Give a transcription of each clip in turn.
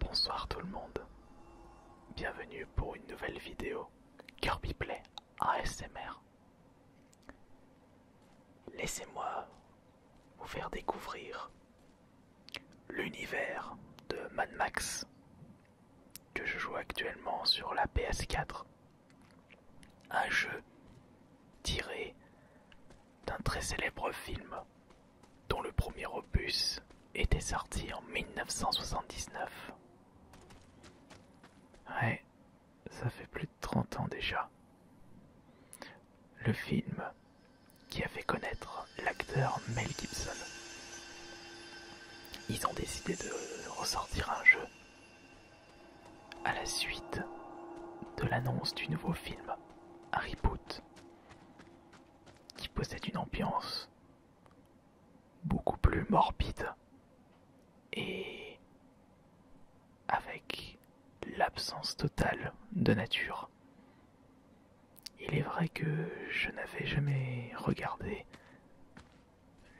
Bonsoir tout le monde, bienvenue pour une nouvelle vidéo Kirby Play ASMR. Laissez-moi vous faire découvrir l'univers de Mad Max que je joue actuellement sur la PS4. Un jeu tiré d'un très célèbre film dont le premier opus était sorti en 1979. Ouais, ça fait plus de 30 ans déjà. Le film qui a fait connaître l'acteur Mel Gibson. Ils ont décidé de ressortir un jeu à la suite de l'annonce du nouveau film, Harry Potter qui possède une ambiance beaucoup plus morbide et avec l'absence totale de nature. Il est vrai que je n'avais jamais regardé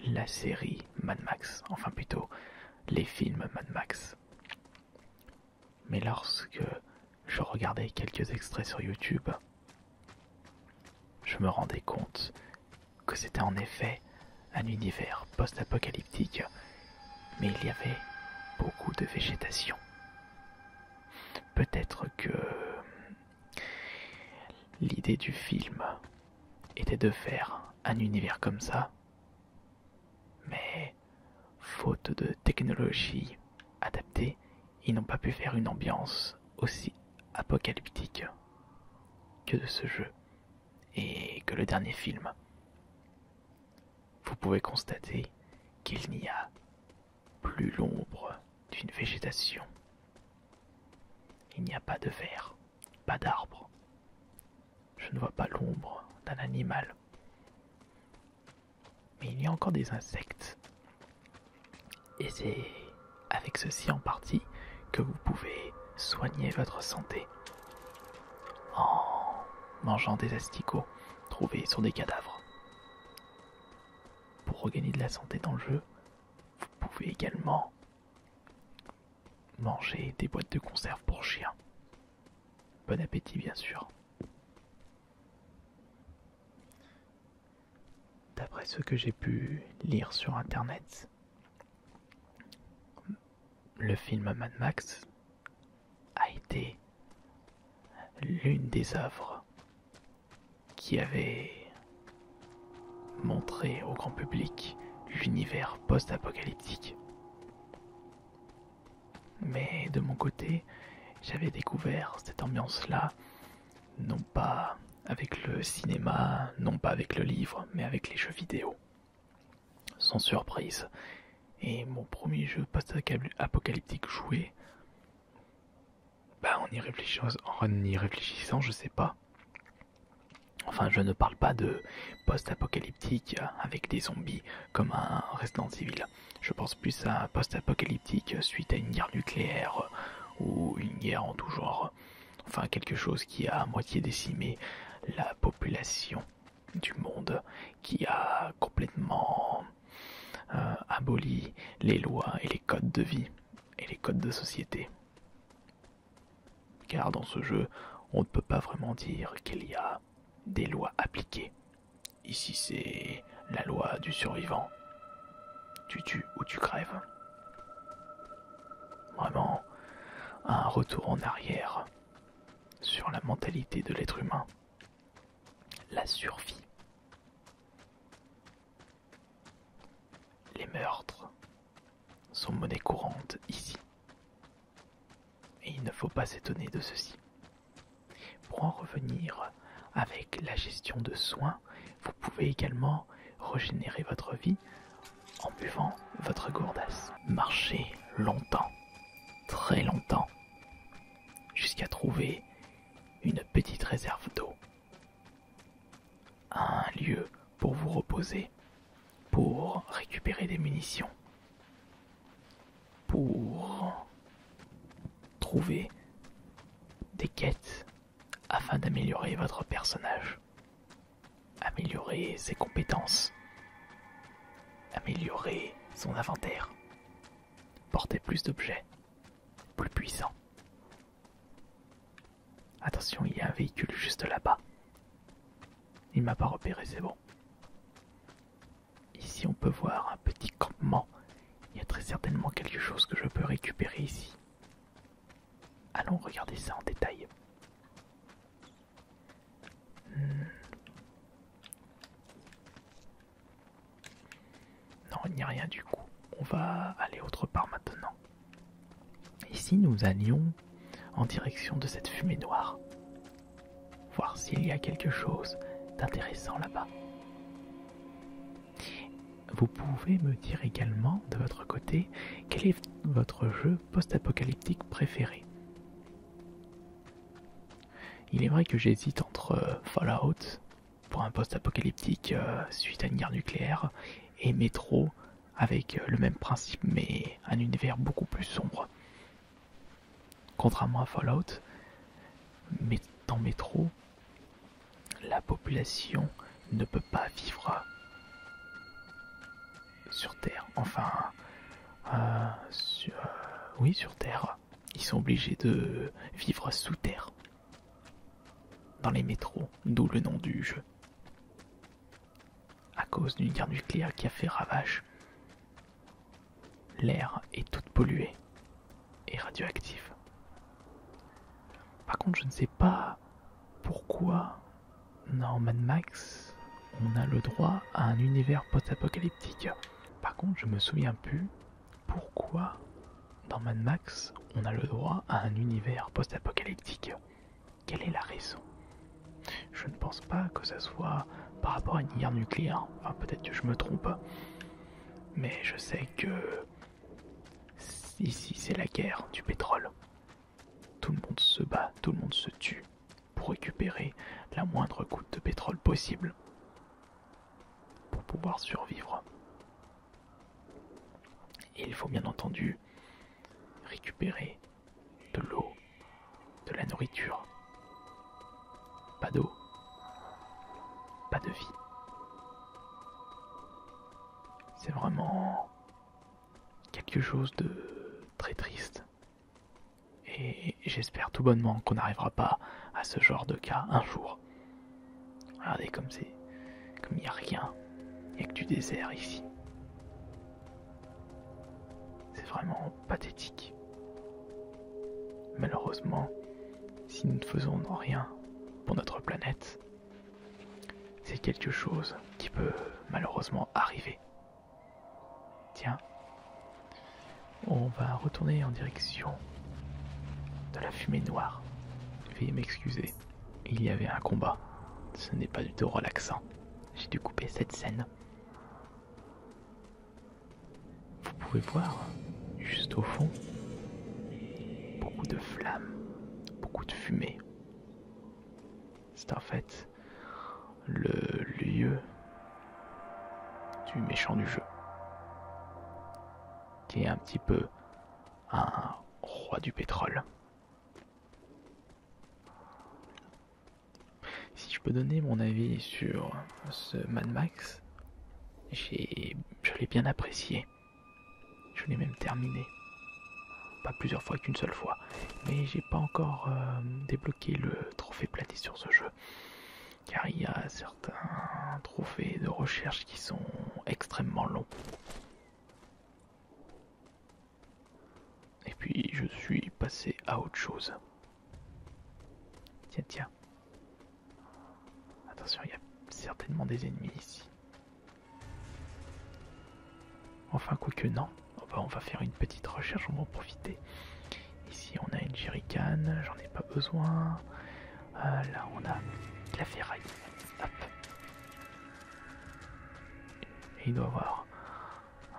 la série Mad Max, enfin plutôt les films Mad Max. Mais lorsque je regardais quelques extraits sur YouTube, je me rendais compte que c'était en effet un univers post-apocalyptique, mais il y avait beaucoup de végétation. Peut-être que l'idée du film était de faire un univers comme ça, mais Faute de technologie adaptée, ils n'ont pas pu faire une ambiance aussi apocalyptique que de ce jeu et que le dernier film. Vous pouvez constater qu'il n'y a plus l'ombre d'une végétation. Il n'y a pas de verre, pas d'arbre. Je ne vois pas l'ombre d'un animal mais il y a encore des insectes. Et c'est avec ceci en partie que vous pouvez soigner votre santé. En mangeant des asticots trouvés sur des cadavres. Pour regagner de la santé dans le jeu, vous pouvez également manger des boîtes de conserve pour chiens. Bon appétit bien sûr. D'après ce que j'ai pu lire sur Internet, le film Mad Max a été l'une des œuvres qui avait montré au grand public l'univers post-apocalyptique. Mais de mon côté, j'avais découvert cette ambiance-là, non pas avec le cinéma, non pas avec le livre, mais avec les jeux vidéo. Sans surprise. Et mon premier jeu post-apocalyptique joué, bah en y, réfléchissant, en y réfléchissant, je sais pas. Enfin, je ne parle pas de post-apocalyptique avec des zombies comme un résident civil Je pense plus à un post-apocalyptique suite à une guerre nucléaire ou une guerre en tout genre. Enfin, quelque chose qui a à moitié décimé la population du monde, qui a complètement euh, aboli les lois et les codes de vie et les codes de société. Car dans ce jeu, on ne peut pas vraiment dire qu'il y a des lois appliquées. Ici, c'est la loi du survivant. Tu tues ou tu crèves. Vraiment, un retour en arrière sur la mentalité de l'être humain. La survie. Les meurtres sont monnaie courante ici. Et il ne faut pas s'étonner de ceci. Pour en revenir avec la gestion de soins, vous pouvez également régénérer votre vie en buvant votre gourdasse. Marchez longtemps, très longtemps, jusqu'à trouver une petite réserve d'eau. Un lieu pour vous reposer pour récupérer des munitions, pour trouver des quêtes afin d'améliorer votre personnage, améliorer ses compétences, améliorer son inventaire, porter plus d'objets, plus puissants. Attention, il y a un véhicule juste là-bas. Il m'a pas repéré, c'est bon. Ici, on peut voir un petit campement. Il y a très certainement quelque chose que je peux récupérer ici. Allons regarder ça en détail. Hmm. Non, il n'y a rien du coup. On va aller autre part maintenant. Ici, nous allions en direction de cette fumée noire. Voir s'il y a quelque chose d'intéressant là-bas. Vous pouvez me dire également, de votre côté, quel est votre jeu post-apocalyptique préféré. Il est vrai que j'hésite entre euh, Fallout, pour un post-apocalyptique euh, suite à une guerre nucléaire, et Metro, avec euh, le même principe mais un univers beaucoup plus sombre. Contrairement à Fallout, mais dans Métro, la population ne peut pas vivre euh, sur Terre. Enfin, euh, oui, sur Terre. Ils sont obligés de vivre sous Terre, dans les métros, d'où le nom du jeu à cause d'une guerre nucléaire qui a fait ravage. L'air est tout pollué et radioactif. Par contre, je ne sais pas pourquoi dans Mad Max on a le droit à un univers post-apocalyptique. Par contre, je me souviens plus pourquoi dans Mad Max on a le droit à un univers post-apocalyptique. Quelle est la raison Je ne pense pas que ça soit par rapport à une guerre nucléaire. Enfin, peut-être que je me trompe. Mais je sais que ici c'est la guerre du pétrole. Tout le monde se bat, tout le monde se tue pour récupérer la moindre goutte de pétrole possible pour pouvoir survivre. Et il faut bien entendu récupérer de l'eau, de la nourriture. Pas d'eau, pas de vie. C'est vraiment quelque chose de très triste. Et j'espère tout bonnement qu'on n'arrivera pas à ce genre de cas un jour. Regardez comme c'est. comme il n'y a rien. Il n'y a que du désert ici. C'est vraiment pathétique. Malheureusement, si nous ne faisons rien pour notre planète, c'est quelque chose qui peut malheureusement arriver. Tiens, on va retourner en direction de la fumée noire. Veuillez m'excuser. Il y avait un combat. Ce n'est pas du tout relaxant. J'ai dû couper cette scène. Vous pouvez voir, juste au fond, beaucoup de flammes, beaucoup de fumée. C'est en fait le lieu du méchant du jeu, qui est un petit peu un roi du pétrole. Si je peux donner mon avis sur ce Mad Max, je l'ai bien apprécié. Je l'ai même terminé. Pas plusieurs fois qu'une seule fois. Mais j'ai pas encore euh, débloqué le trophée platé sur ce jeu. Car il y a certains trophées de recherche qui sont extrêmement longs. Et puis je suis passé à autre chose. Tiens, tiens. Attention, il y a certainement des ennemis ici. Enfin, quoi que non. Oh, bah, on va faire une petite recherche, on va en profiter. Ici, on a une jerrycan, j'en ai pas besoin. Euh, là, on a la ferraille. Hop il doit avoir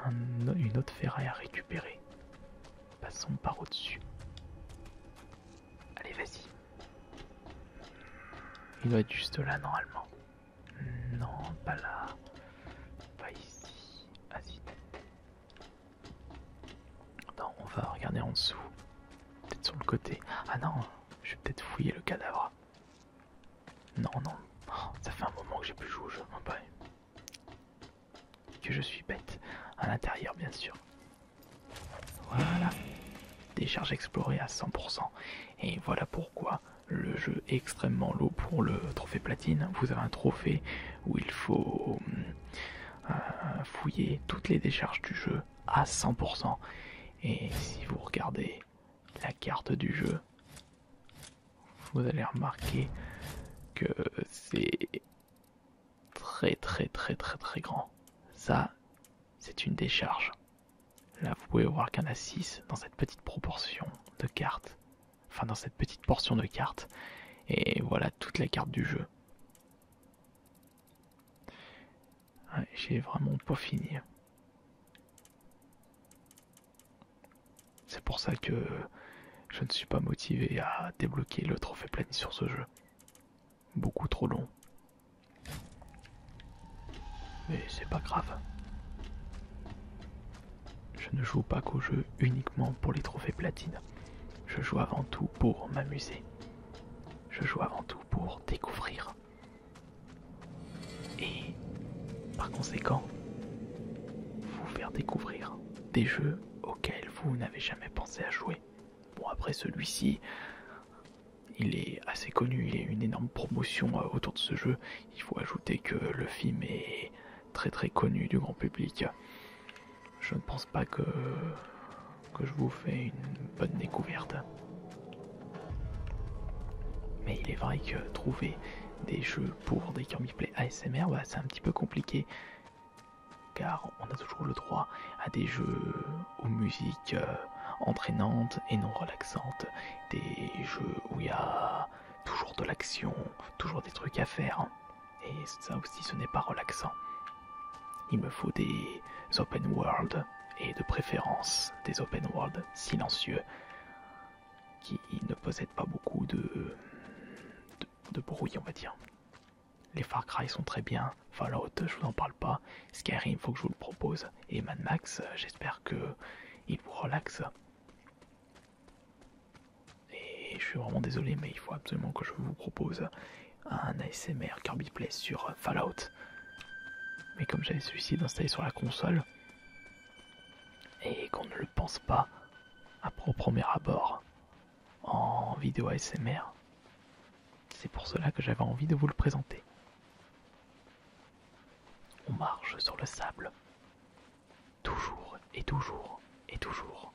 une autre ferraille à récupérer. Passons par au-dessus. Allez, vas-y. Il doit être juste là normalement. Non, pas là. Pas ici. Ah y Non, on va regarder en dessous. Peut-être sur le côté. Ah non, je vais peut-être fouiller le cadavre. Non, non. ça fait un moment que j'ai plus joué au jeu, oh, Que je suis bête. À l'intérieur, bien sûr. Voilà. décharge explorée à 100%. Et voilà pourquoi le jeu est extrêmement lourd pour le trophée platine. Vous avez un trophée où il faut euh, fouiller toutes les décharges du jeu à 100%. Et si vous regardez la carte du jeu. Vous allez remarquer que c'est très très très très très grand. Ça, c'est une décharge. Là, vous pouvez voir qu'un A6 dans cette petite proportion de cartes. Enfin, dans cette petite portion de cartes. Et voilà toute la carte du jeu. J'ai vraiment pas fini. C'est pour ça que je ne suis pas motivé à débloquer le trophée platine sur ce jeu. Beaucoup trop long. Mais c'est pas grave. Je ne joue pas qu'au jeu uniquement pour les trophées platines. Je joue avant tout pour m'amuser. Je joue avant tout pour découvrir. Et par conséquent, vous faire découvrir des jeux auxquels vous n'avez jamais pensé à jouer. Bon après celui-ci, il est assez connu, il y a une énorme promotion euh, autour de ce jeu. Il faut ajouter que le film est très très connu du grand public. Je ne pense pas que que je vous fais une bonne découverte. Mais il est vrai que trouver des jeux pour des Kirby ASMR, bah, c'est un petit peu compliqué. Car on a toujours le droit à des jeux aux musiques euh, entraînantes et non relaxantes. Des jeux où il y a toujours de l'action, toujours des trucs à faire. Et ça aussi, ce n'est pas relaxant. Il me faut des open world et de préférence des open world silencieux qui ne possèdent pas beaucoup de, de, bruit, on va dire. Les Far Cry sont très bien, Fallout, je vous en parle pas, Skyrim, faut que je vous le propose, et Mad Max, j'espère que il vous relaxe. Et je suis vraiment désolé, mais il faut absolument que je vous propose un ASMR Kirby Play sur euh, Fallout. Mais comme j'avais celui-ci d'installer sur la console, et qu'on ne le pense pas à proprement premier abord en vidéo ASMR, c'est pour cela que j'avais envie de vous le présenter. On marche sur le sable. Toujours et toujours et toujours.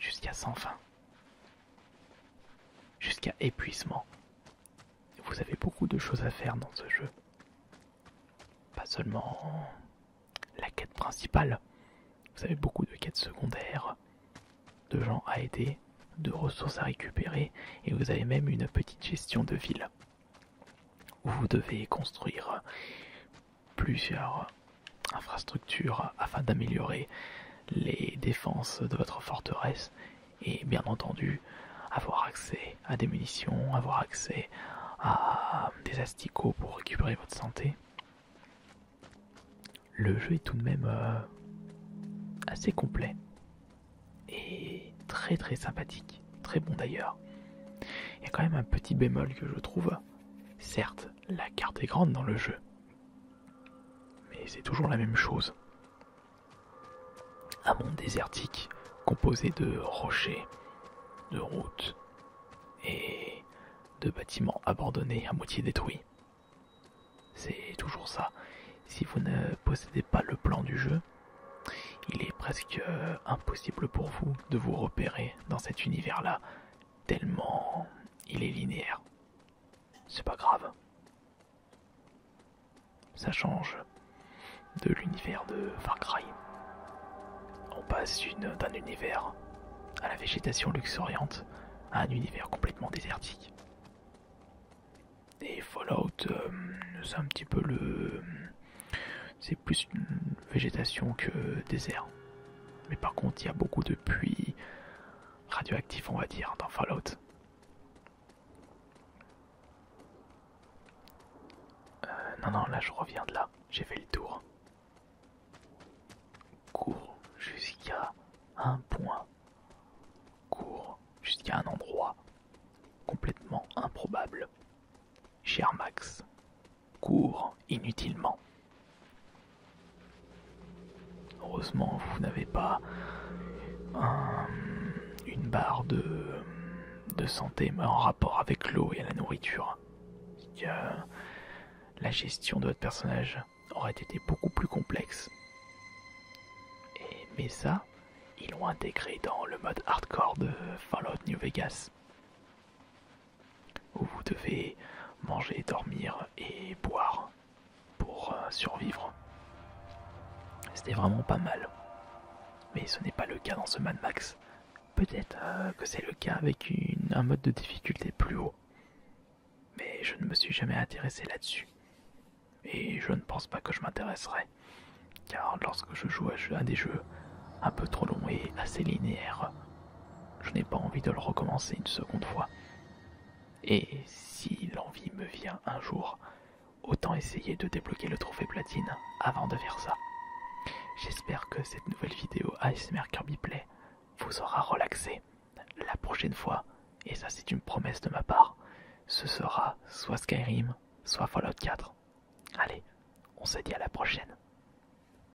Jusqu'à sans fin jusqu'à épuisement. Vous avez beaucoup de choses à faire dans ce jeu. Pas seulement la quête principale, vous avez beaucoup de quêtes secondaires, de gens à aider, de ressources à récupérer, et vous avez même une petite gestion de ville, où vous devez construire plusieurs infrastructure afin d'améliorer les défenses de votre forteresse et bien entendu avoir accès à des munitions, avoir accès à des asticots pour récupérer votre santé. Le jeu est tout de même euh, assez complet et très très sympathique, très bon d'ailleurs. Il y a quand même un petit bémol que je trouve. Certes, la carte est grande dans le jeu, mais c'est toujours la même chose. Un monde désertique composé de rochers, de routes et de bâtiments abandonnés à moitié détruits. C'est toujours ça. Si vous ne possédez pas le plan du jeu, il est presque euh, impossible pour vous de vous repérer dans cet univers-là, tellement il est linéaire. C'est pas grave. Ça change de l'univers de Far Cry. On passe d'un univers à la végétation luxuriante à un univers complètement désertique. Et Fallout, euh, c'est un petit peu le. C'est plus une végétation que désert. Mais par contre, il y a beaucoup de puits, radioactif, on va dire, dans Fallout. Euh, non, non, là je reviens de là, j'ai fait le tour. Cours jusqu'à un point. Cours jusqu'à un endroit complètement improbable. Cher Max, court inutilement. Heureusement, vous n'avez pas euh, une barre de, santé en rapport avec l'eau et la nourriture. la gestion de votre personnage aurait été beaucoup plus complexe. Et, mais ça, ils l'ont intégré dans le mode hardcore de Fallout New Vegas où vous devez manger, dormir et boire pour euh, survivre. C'était vraiment pas mal. Mais ce n'est pas le cas dans ce Mad Max. Peut-être euh, que c'est le cas avec un mode de difficulté plus haut. Mais je ne me suis jamais intéressé là-dessus. Et je ne pense pas que je m'intéresserai. Car lorsque je joue à des jeux un peu trop longs et assez linéaires, je n'ai pas envie de le recommencer une seconde fois. Et si l'envie me vient un jour, autant essayer de débloquer le trophée platine avant de faire ça. J'espère que cette nouvelle vidéo Ice Kirby Play vous aura relaxé. La prochaine fois, et ça c'est une promesse de ma part, ce sera soit Skyrim, soit Fallout 4. Allez, on se dit à la prochaine.